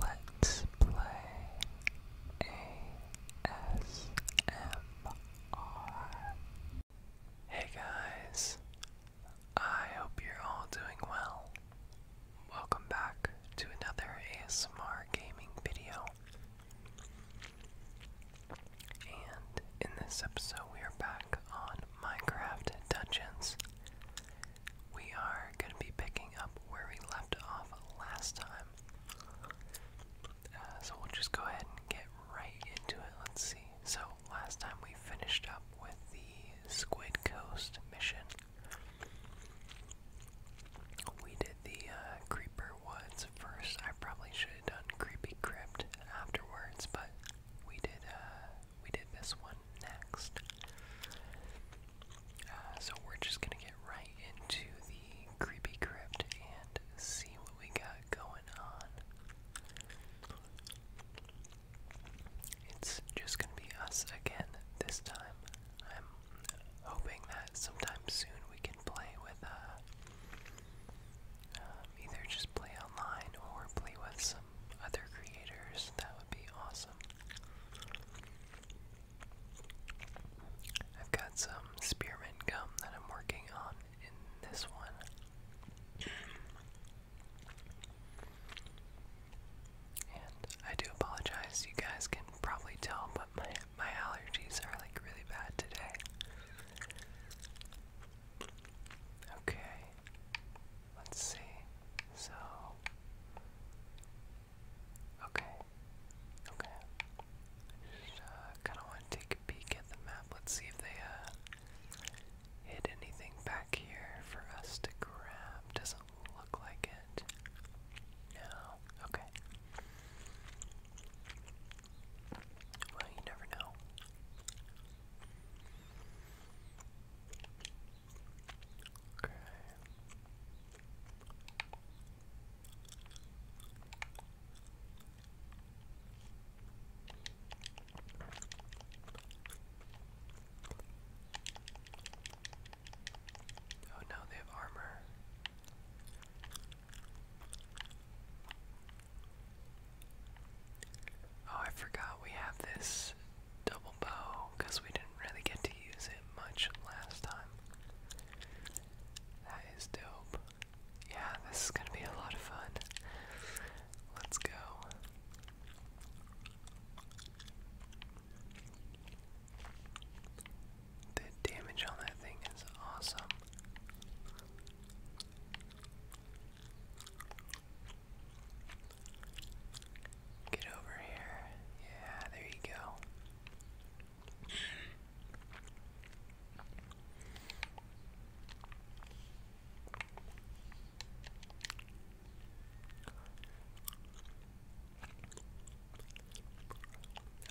Let's play ASMR. Hey guys, I hope you're all doing well. Welcome back to another ASMR gaming video. And in this episode, we are back on Minecraft Dungeons we are going to be picking up where we left off last time. Uh, so we'll just go ahead and get right into it. Let's see. So last time we finished up with the Squid Coast mission. We did the uh, Creeper Woods first. I probably should have done Creepy Crypt afterwards, but we did uh, we did this one next. Uh, so we're just gonna get right into the creepy crypt and see what we got going on. It's just gonna be us again this time. I'm hoping that sometime soon we can play with uh, um, either just play online or play with some other creators. That would be awesome. I've got some spearmint gum that I'm working on in this one. And I do apologize, you guys can probably tell, but my my allergies are like really bad today. Okay. Let's see. So okay, okay. Just, uh, kind of want to take a peek at the map. Let's see if they uh, hid anything back here for us to grab. Doesn't look like it. No. Okay. Well, you never know. Oh, no, they have armor. Oh, I forgot we have this double bow because we didn't really get to use it much last time. That is dope. Yeah, this is gonna be a lot of fun. Let's go. The damage on that thing is awesome. Get over here. Yeah, there you go.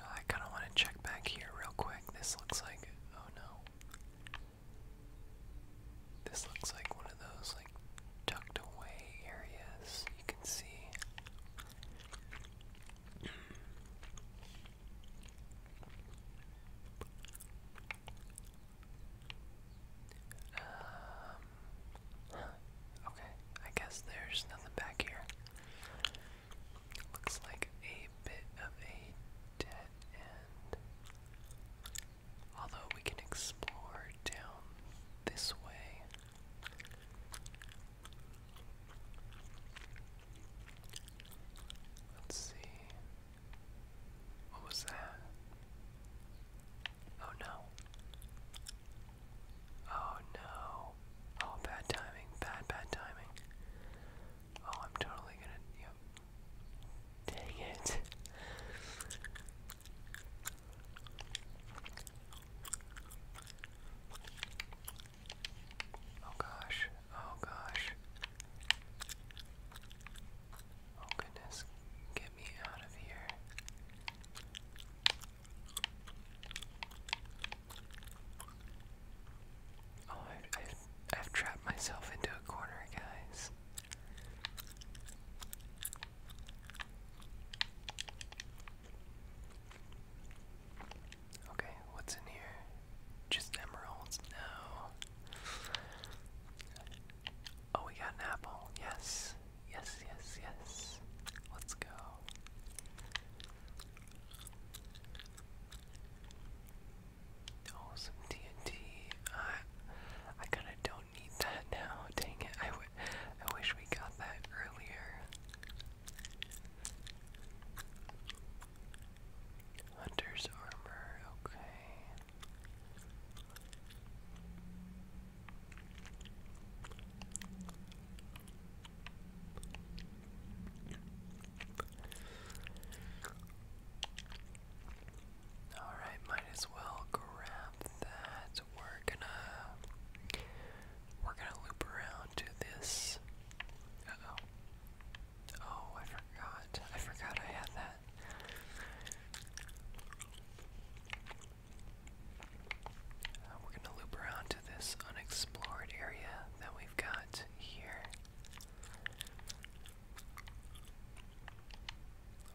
Oh, I kind of want to check back here real quick. This looks like. Oh no. This looks like one of those, tucked away areas you can see. Um, okay, I guess there's nothing back here. Looks like a bit of a dead end. Although we can explore down this way. Let's see. What was that? Oh no. Oh no. Oh, bad timing. Bad, bad timing. Oh, I'm totally gonna. Yep. Dang it. Oh gosh, oh gosh. Oh goodness, get me out of here. Oh, I've, trapped myself into a corner, guys. Okay, what's in here? Just emeralds? No. Oh, we got an apple. Yes. Yes, yes, yes. Let's go. Oh, some TNT. I, I kind of don't do need that now. Dang it. I, w I wish we got that earlier. Hunter's armor, okay. All right, might as well grab that we're gonna we're gonna loop around to this. oh. Oh, I forgot. I forgot I had that. Uh, we're gonna loop around to this unexplored area that we've got here.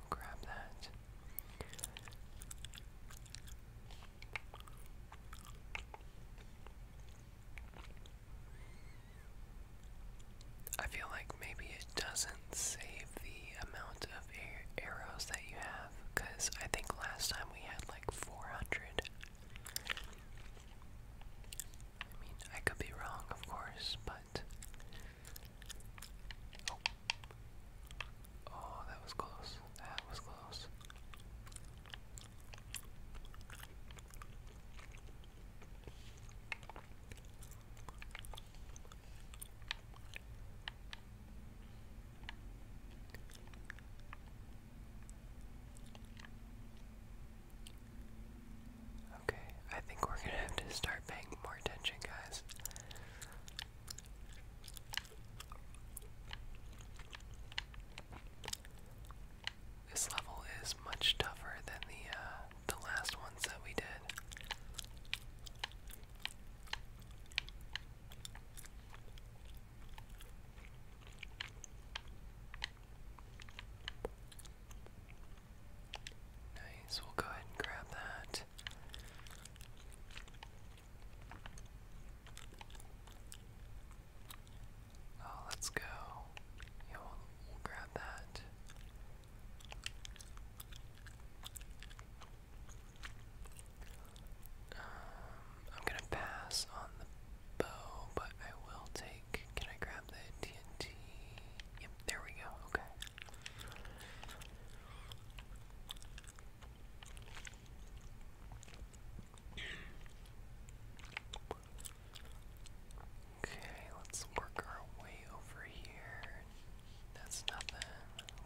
grab that. I feel like maybe it doesn't save the amount of arrows that you have, because I think last time we had like 400. I mean, I could be wrong, of course, but Oh. that was close. That was close. Okay, I think we're gonna have to start paying more attention, guys. This level is much tougher than the uh, the last ones that we did. Nice, we'll go ahead and grab that. Oh, let's go. Yeah, will grab that. Um, I'm gonna pass on the bow, but I will take. Can I grab the TNT? Yep, there we go. Okay. Okay, let's work our way over here. That's nothing.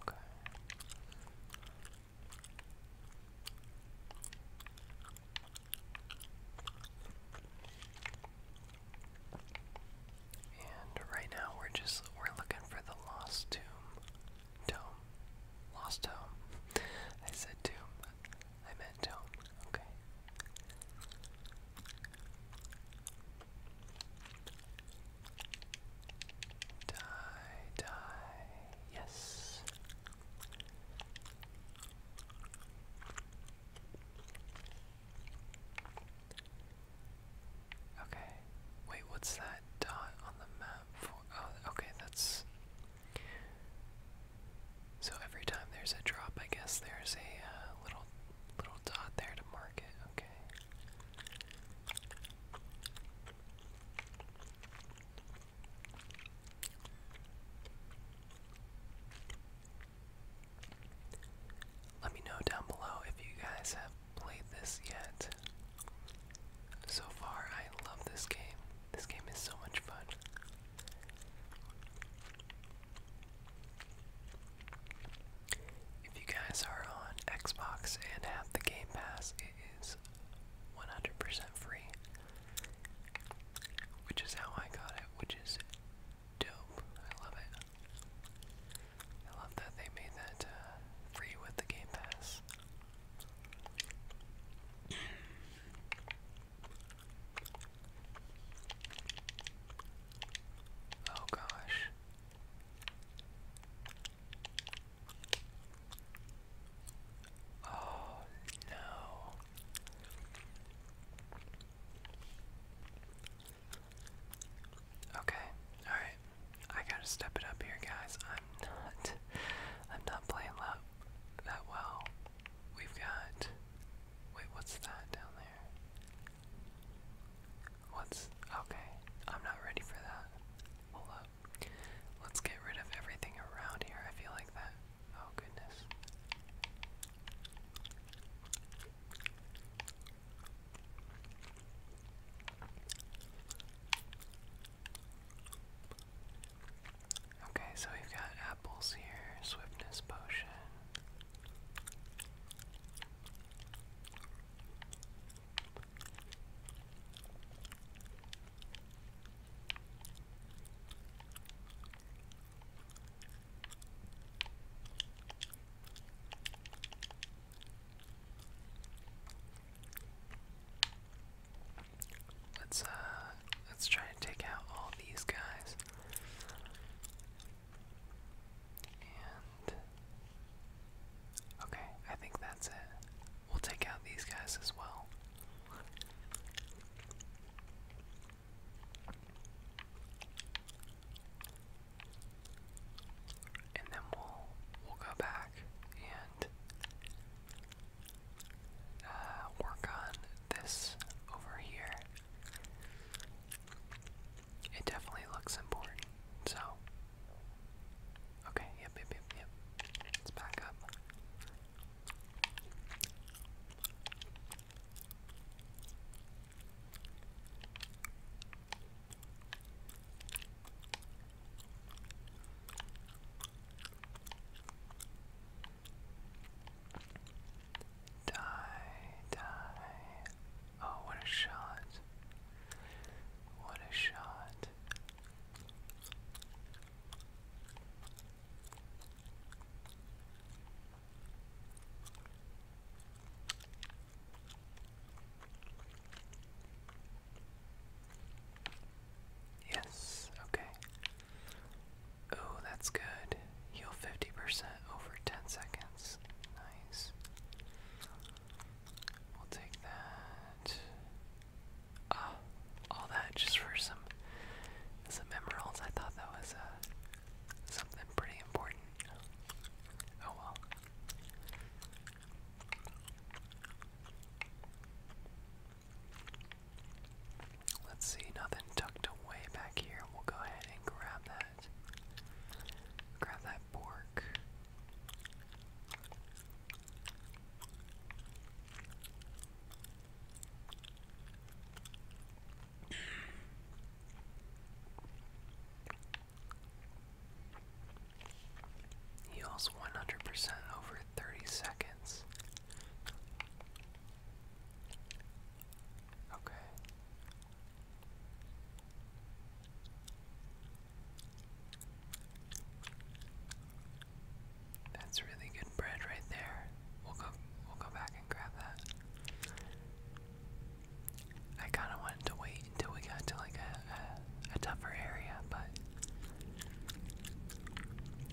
Okay. And right now we're just we're looking for the lost tomb. Tome. Lost tome. I said tomb. I meant tome. Okay. Die, die. Yes. Okay. Wait, what's that dot on the map for? Oh, okay, that's. So every time there's a drop, I guess there's a uh, little little dot there to mark it. Okay. Let me know down below if you guys have played this yet. So far, I love this game. This game is so much fun. If you guys are on Xbox and have the Game Pass, it is 100% free. Which is how I got it, which is dope. I love it. I love that they made that uh, free with the Game Pass. oh gosh. Oh no. Okay, alright. I gotta step it up here, guys. I'm not. I'm not playing love that well. We've got. Wait, what's that down there? What's okay? I'm not ready for that. Hold up. Let's get rid of everything around here. I feel like that. Oh goodness. Okay, so we've got apples here, swiftness potion. Let's uh let's try to take out all these guys. And okay, I think that's it. We'll take out these guys as well and then we'll we'll go back and uh, work on this over here. It definitely looks important. So, okay, yep, yep, yep. Let's back up. Die, die. Oh, what a shot. What a shot. Yes, okay. Oh, that's good. Heal 50% over 10 seconds. Nice. We'll take that. Ah, all that just for some some emeralds. I thought that was uh, something pretty important. Oh well. Let's see, nothing tucked away back here. We'll go ahead and grab that. Grab that pork. Heals 100% over 30 seconds. Okay. That's really good bread right there. We'll go we'll go back and grab that. I kind of wanted to wait until we got to like a, a, tougher area, but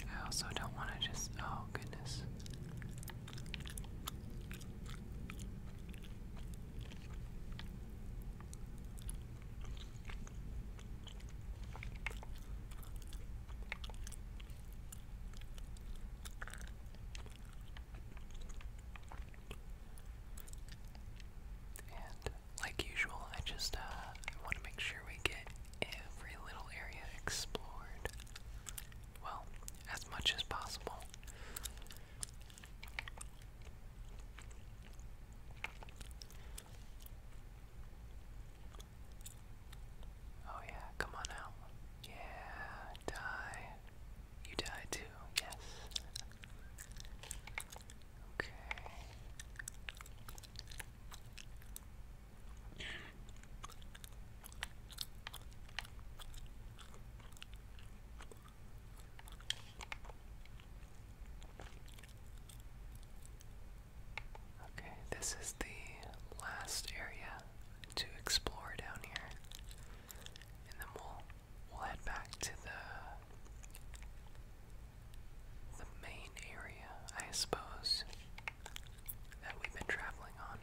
I also don't want to just. Oh, goodness like usual, I just uh, want to make sure we get every little area explored. Well, as much as possible. Oh yeah, come on out. Yeah, die. You die too, yes. Okay. Okay, this is the last area to explore down here. And then we'll we'll head back to the the main area, I suppose, that we've been traveling on.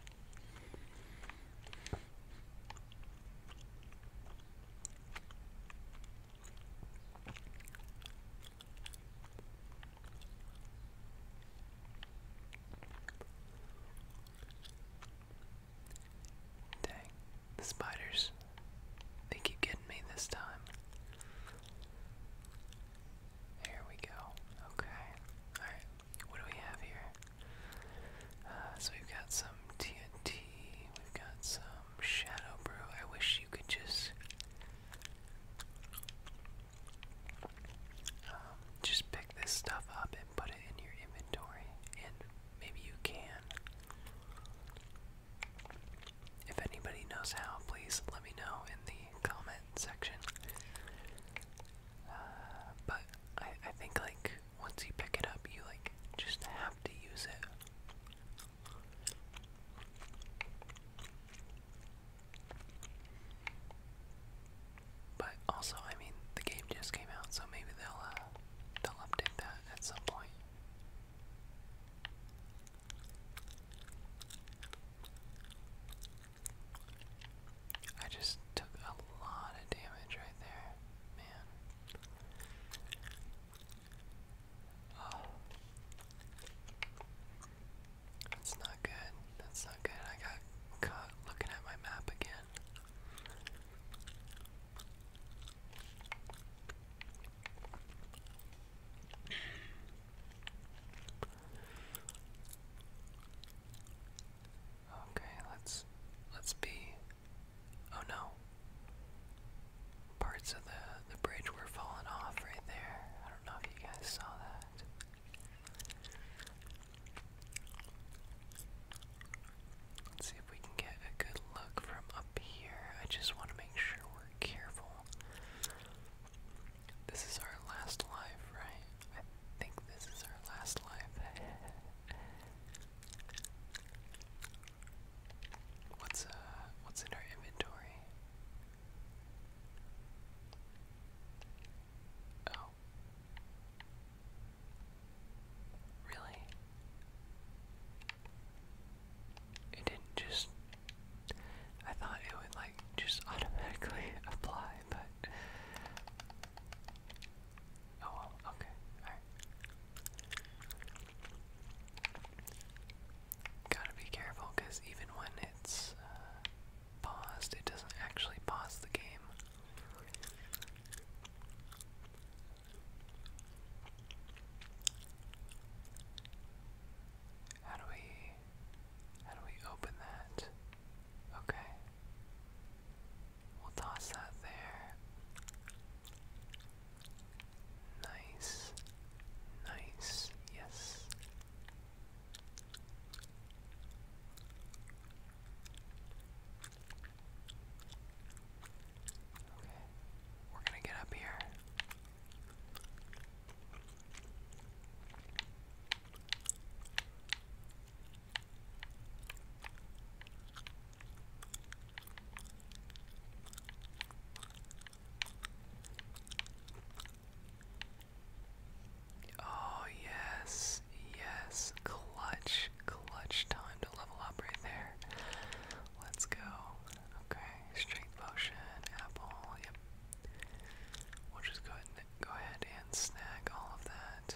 Dang, the spiders. They keep getting me this time. There we go. Okay. Alright, what do we have here? Uh, so we've got some TNT, we've got some Shadow Brew. I wish you could just. Um, just pick this stuff up and put it in your inventory, and maybe you can. If anybody knows how, please let me know in the comment section. Uh, but I, I think like once you pick it up, you like just have to use it. But also, I mean, the game just came out, so maybe they'll uh, they'll update that at some point. I just took a lot of damage right there, man. That's not good. That's not good. I got caught looking at my map again. Okay, let's let's be oh no. Parts of the the bridge were falling off right there. I don't know if you guys saw that. Let's see if we can get a good look from up here. I just want to make sure we're careful. This is our last life, right? I think this is our last life. what's uh what's in our inventory? Oh. Really? It didn't just. I thought it would, like, just automatically apply, but. Oh okay, alright. Gotta be careful, because even when it's uh, paused, it doesn't actually pause the game. How do we how do we open that? Okay. We'll toss that there. Nice. Nice. Yes we're gonna get up here. Oh, yes, yes, clutch clutch, time to level up right there. Let's go. Okay, strength potion, apple, yep. We'll just go ahead and snag all of that.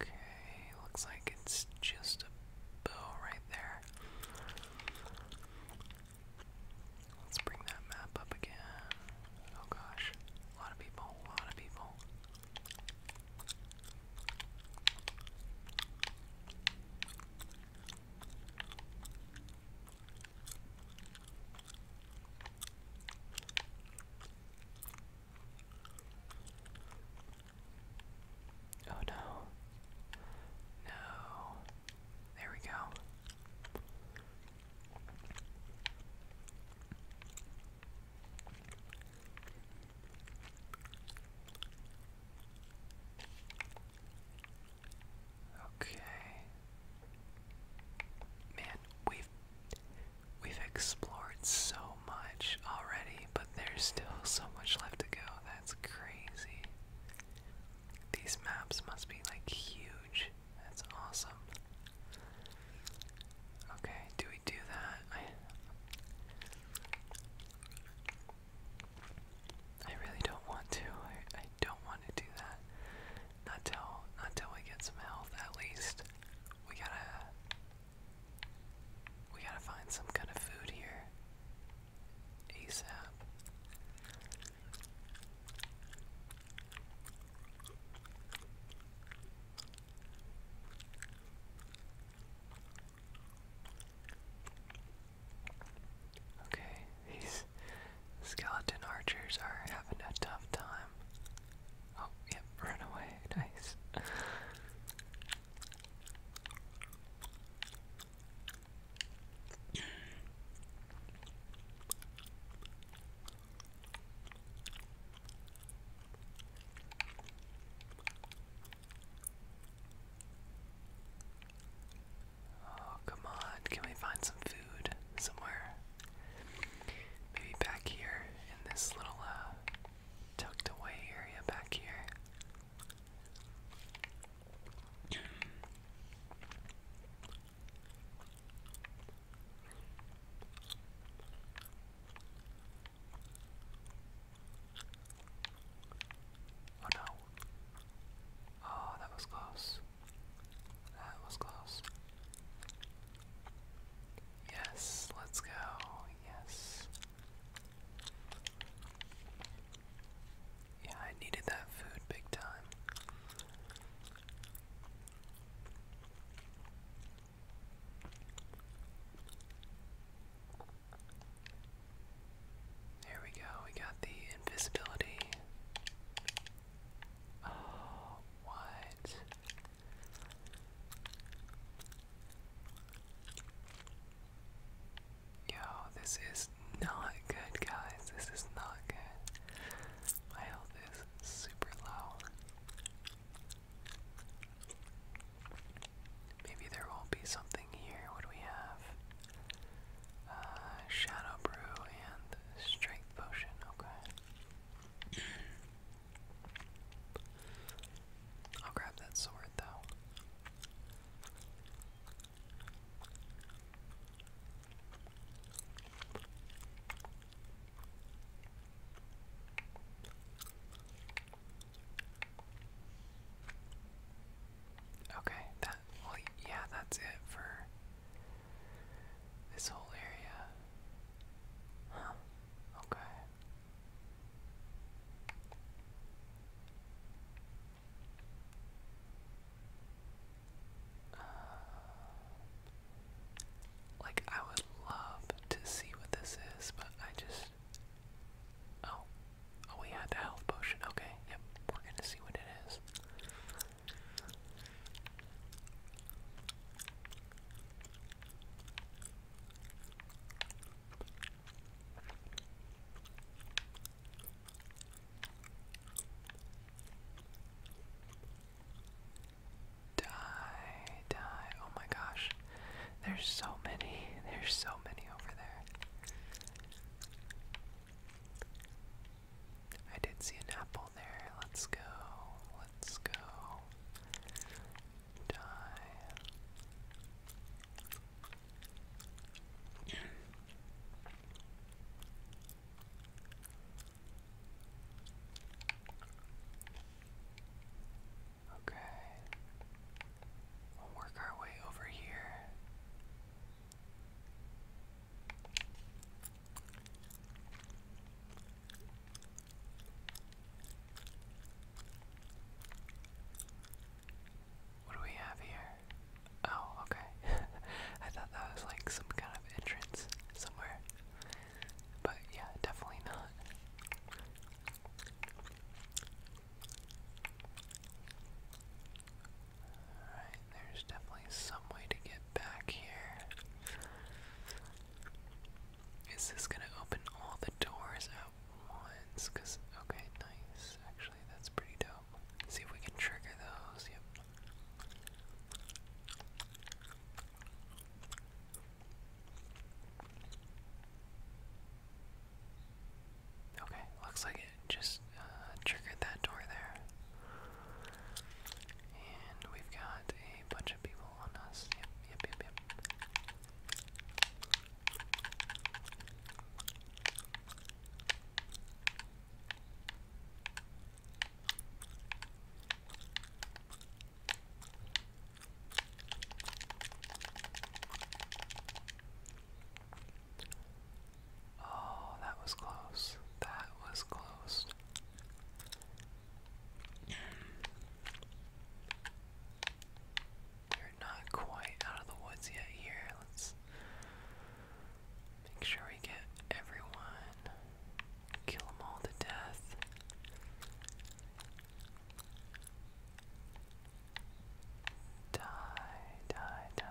Okay, looks like it's just a bow right there. Let's bring that map up again. Oh gosh, a lot of people, a lot of people. Oh no. No. There we go. Okay. Man, we've we've explored so much already but there's still so much left to go. That's crazy. These maps must be like huge. That's awesome. Okay, do we do that? I, really don't want to. I don't want to do that. Not till not till we get some health at least. We gotta we gotta find some kind of food here. ASAP. Okay, these skeleton archers are having a tough time. Oh, yep, run away. Nice. Oh, come on. Can we find some food somewhere? Maybe back here in this little uh, tucked away area back here. Oh no. Oh, that was close. That was close. Yes, let's go. Yes. Yeah, I needed that food big time. Here we go, we got the invisibility. Oh, what? Yo, this is not good, guys. This is not good. My health is super low. Maybe there will be something here. What do we have? Uh, shadow Brew and Strength Potion. Okay. I'll grab that sword though. Okay, that well yeah, that's it for this whole area. Huh. Okay. Uh, like, I would love to see what this is, but I just. Oh. Oh, we had the health potion. Okay, yep. We're gonna see what it is. Die, die. Oh my gosh. There's so many. There's so many over there. I did see an apple there. Let's go. Let's go. Die. Okay. We'll work our way over here. What do we have here? Oh, okay. I thought that was like some kind of entrance somewhere. But yeah, definitely not. Alright, there's definitely some way to get back here. Is this gonna open all the doors at ones, cause, okay, nice, actually, that's pretty dope. See if we can trigger those, yep. Okay, looks like it just uh, triggered that door there. And we've got a bunch of people on us. Yep, yep, yep, yep. Oh, that was close. That was close. You're not quite out of the woods yet here. Let's make sure we get everyone. Kill them all to death. Die, die, die.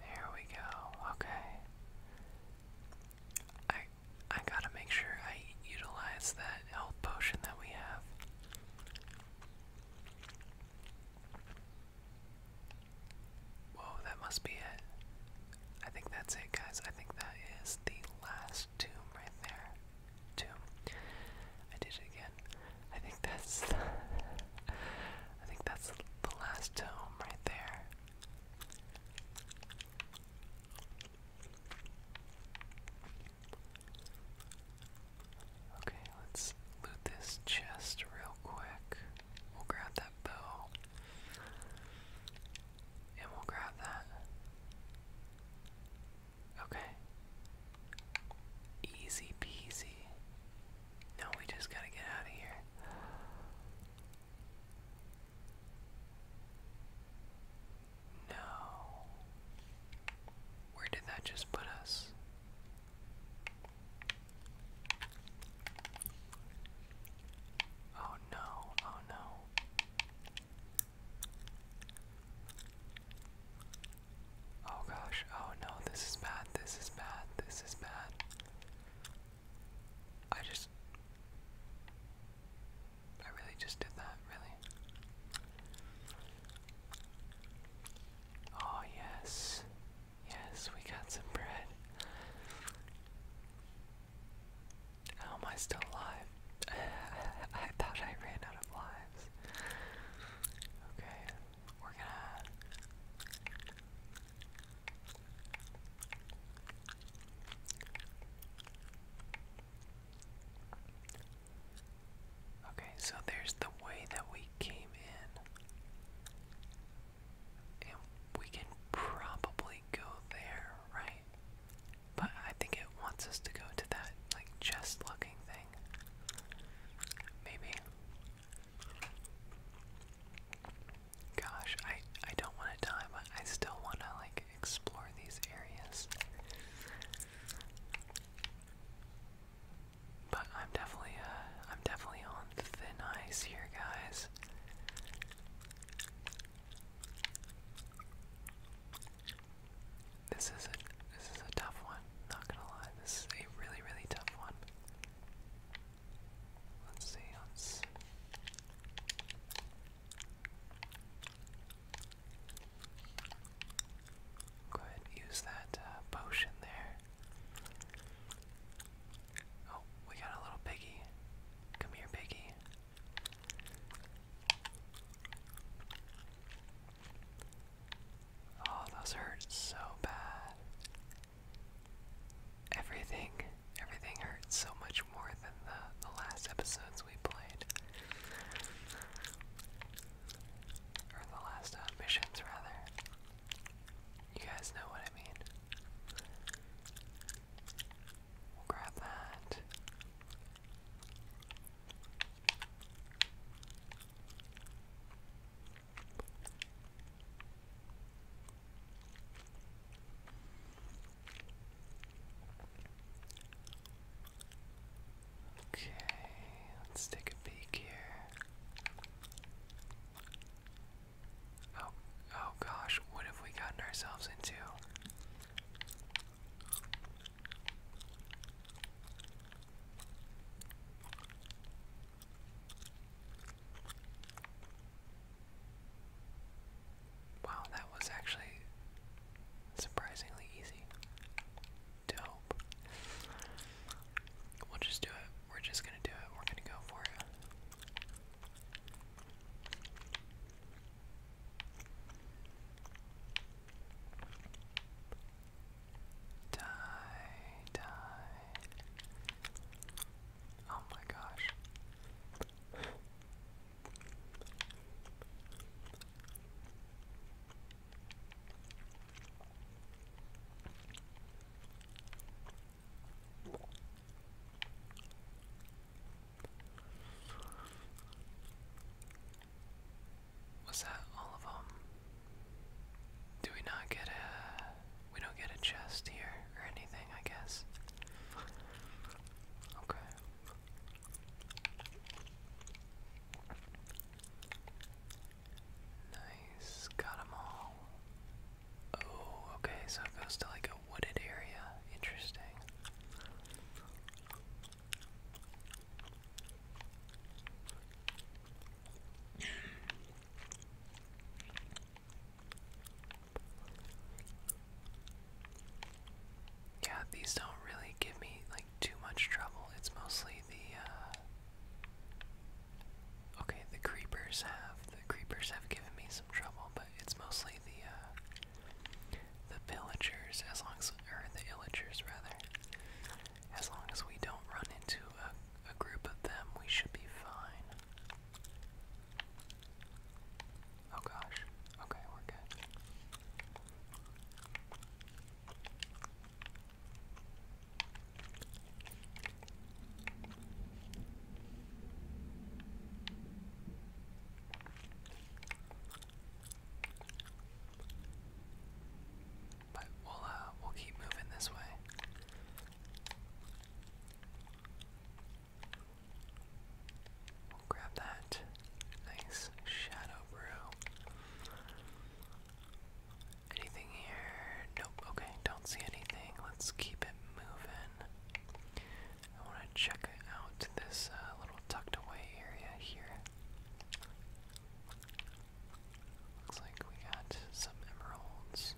There we go. Okay. I I gotta make sure I utilize that health potion that we have. Whoa, that must be it. I think that's it, guys. I think that is the last tomb right there. Tomb. I did it again. I think that's I think that's the last tome right there. Okay, let's loot this chest real quick. We'll grab that bow. And we'll grab that. Okay. Easy peasy. No, we just gotta get out of here. No. Where did that just put us? Oh no, oh no. Oh gosh, oh no, this is bad, this is bad, this is bad. I just. I really just did that, really. Oh, yes. Yes, we got some bread. How am I still alive? I thought I ran out of lives. Okay, Okay, so there's the way that we came in. And we can probably go there, right? But I think it wants us to go to that, like, chest looking thing. Maybe. Gosh, I I don't want to die, but I still want to like explore these areas. But I'm definitely uh I'm definitely on thin ice here, guys. This is a this is a tough one, not gonna lie this is a really, really tough one. Let's see, Go ahead use that uh, potion there. Oh, we got a little piggy. Come here, piggy. Oh, those hurt so bad. Everything, everything hurts so much more than the, the last episodes we played. Or the last uh, missions, rather. You guys know what I mean. We'll grab that. Okay, let's take a peek here. Oh, oh gosh, what have we gotten ourselves into? Wow, that was actually surprisingly easy. Dope. We'll just do it. We're just gonna do it. We're gonna go for it. Die, die. Oh my gosh. Was that all of them? Do we not get a. We don't get a chest here or anything, I guess. Okay. Nice. Got them all. Oh, okay, so it goes to like a wooded area. Interesting. Yeah, these don't really give me like too much trouble. It's mostly the uh, Okay, the creepers have the creepers have given me some trouble, but it's mostly the uh, the villagers as long as or the illagers rather. As long as we don't run into a, group of them, we should be fine. Oh gosh. Okay, we're good. But we'll uh, we'll keep moving this way. grab that nice shadow brew. Anything here? Nope. Okay, don't see anything. Let's keep it moving. I want to check out this uh, little tucked away area here. Looks like we got some emeralds.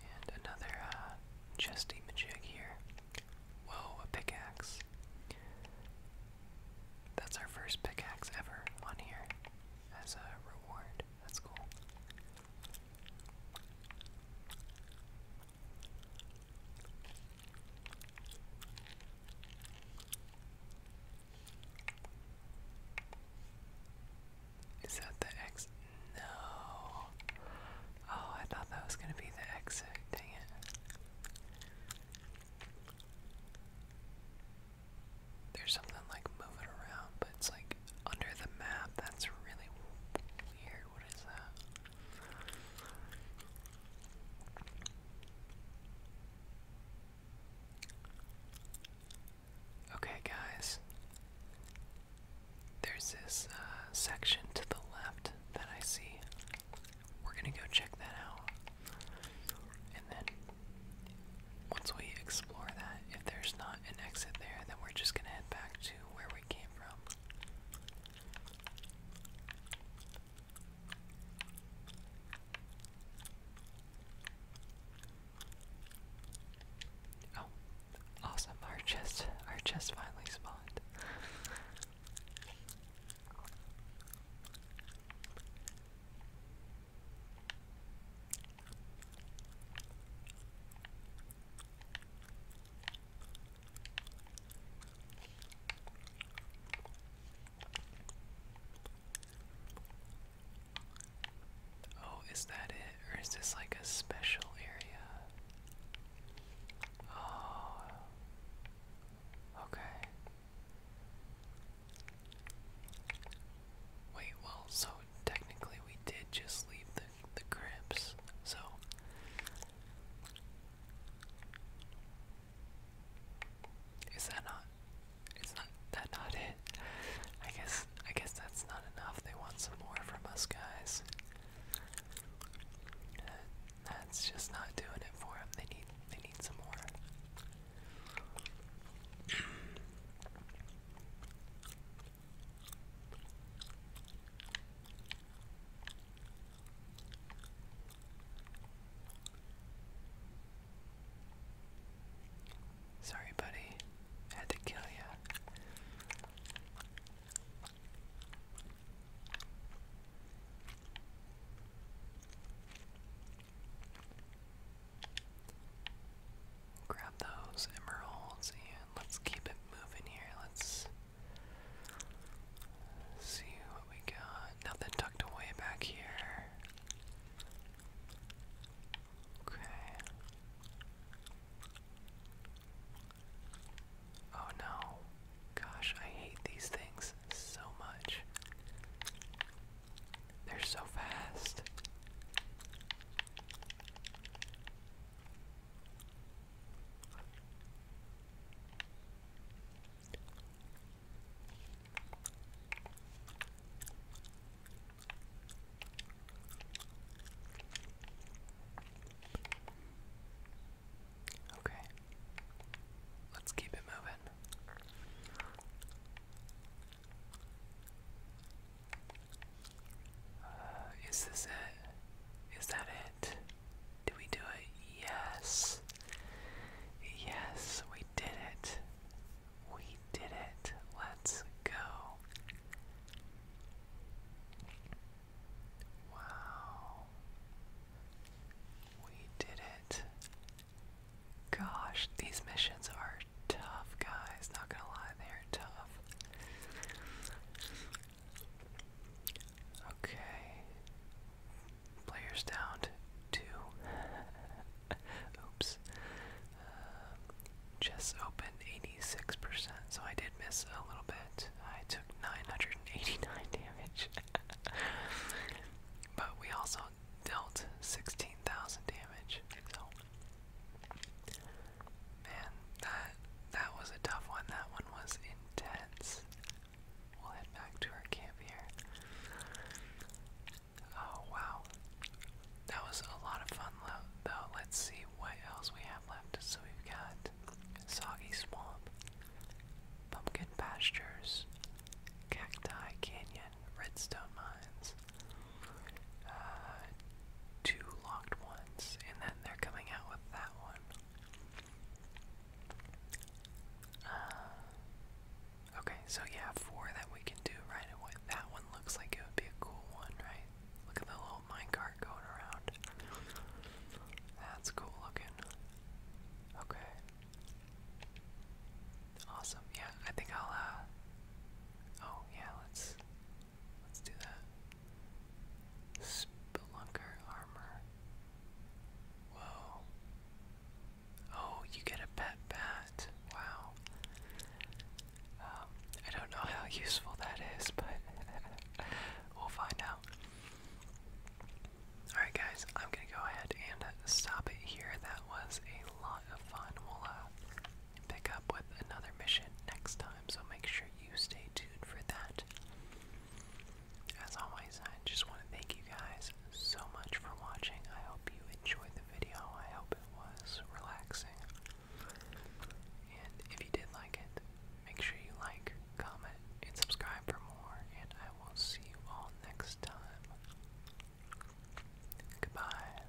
And another uh, chesty majig here. Whoa, a pickaxe. That's our first pickaxe ever on here as a reward. That's cool. Is that the exit? No. Oh, I thought that was going to be the exit. Dang it. There's something like moving around, but it's like under the map. That's really weird. What is that? Okay, guys. There's this uh, section to the left that I see. We're gonna go check that out. And then, once we explore that, if there's not an exit there, then we're just gonna head back to where we came from. Oh, awesome. Our chest our chest finally spawned. Oh, is that it? Or is this like a special area? Oh. Okay. Wait, well, so technically we did just leave the grips. So is that not it's that not it? I guess I guess that's not enough. They want some more from us guys. that's just not doing it for them. They need they need some more. Sorry, buddy. Had to kill you. Grab those emeralds and let's keep it moving here. Let's see what we got. Nothing tucked away back here. Okay. Oh no. Gosh, I hate these things so much. They're so fast. Okay. Let's keep it moving. Uh, is this it? Is that it? Did we do it? Yes. Yes, we did it. We did it. Let's go. Wow. We did it. Gosh, these missions are tough, guys. Not gonna lie, they are tough. Okay. Players down to two. Oops. Um, chess open 86%, so I did miss a little bit. I took 989 damage. but we also dealt 16,000 damage, so. Man, that that was a tough one. That one was intense. We'll head back to our camp here. Oh, wow. That was a lot of fun, though. Let's see what else we have left. So we've got Soggy Swamp, Pumpkin Pastures, Cacti Canyon, Redstone Mines, uh, two locked ones, and then they're coming out with that one. Uh, okay, so yeah, four that we can do right away. That one looks like it would be a cool one, right? Look at the little minecart going around. That's cool looking. Okay. Awesome. Yeah, I think I'll, uh, Oh, yeah, let's. Let's do that. Spelunker armor. Whoa. Oh, you get a pet bat. Wow. Um, I don't know how useful that is, but we'll find out. Alright, guys, I'm gonna go ahead and stop it here. That was a lot of fun. We'll uh, pick up with another mission next time, so make sure you stay tuned for that. As always, I just want to thank you guys so much for watching. I hope you enjoyed the video. I hope it was relaxing. And if you did like it, make sure you like, comment, and subscribe for more. And I will see you all next time. Goodbye.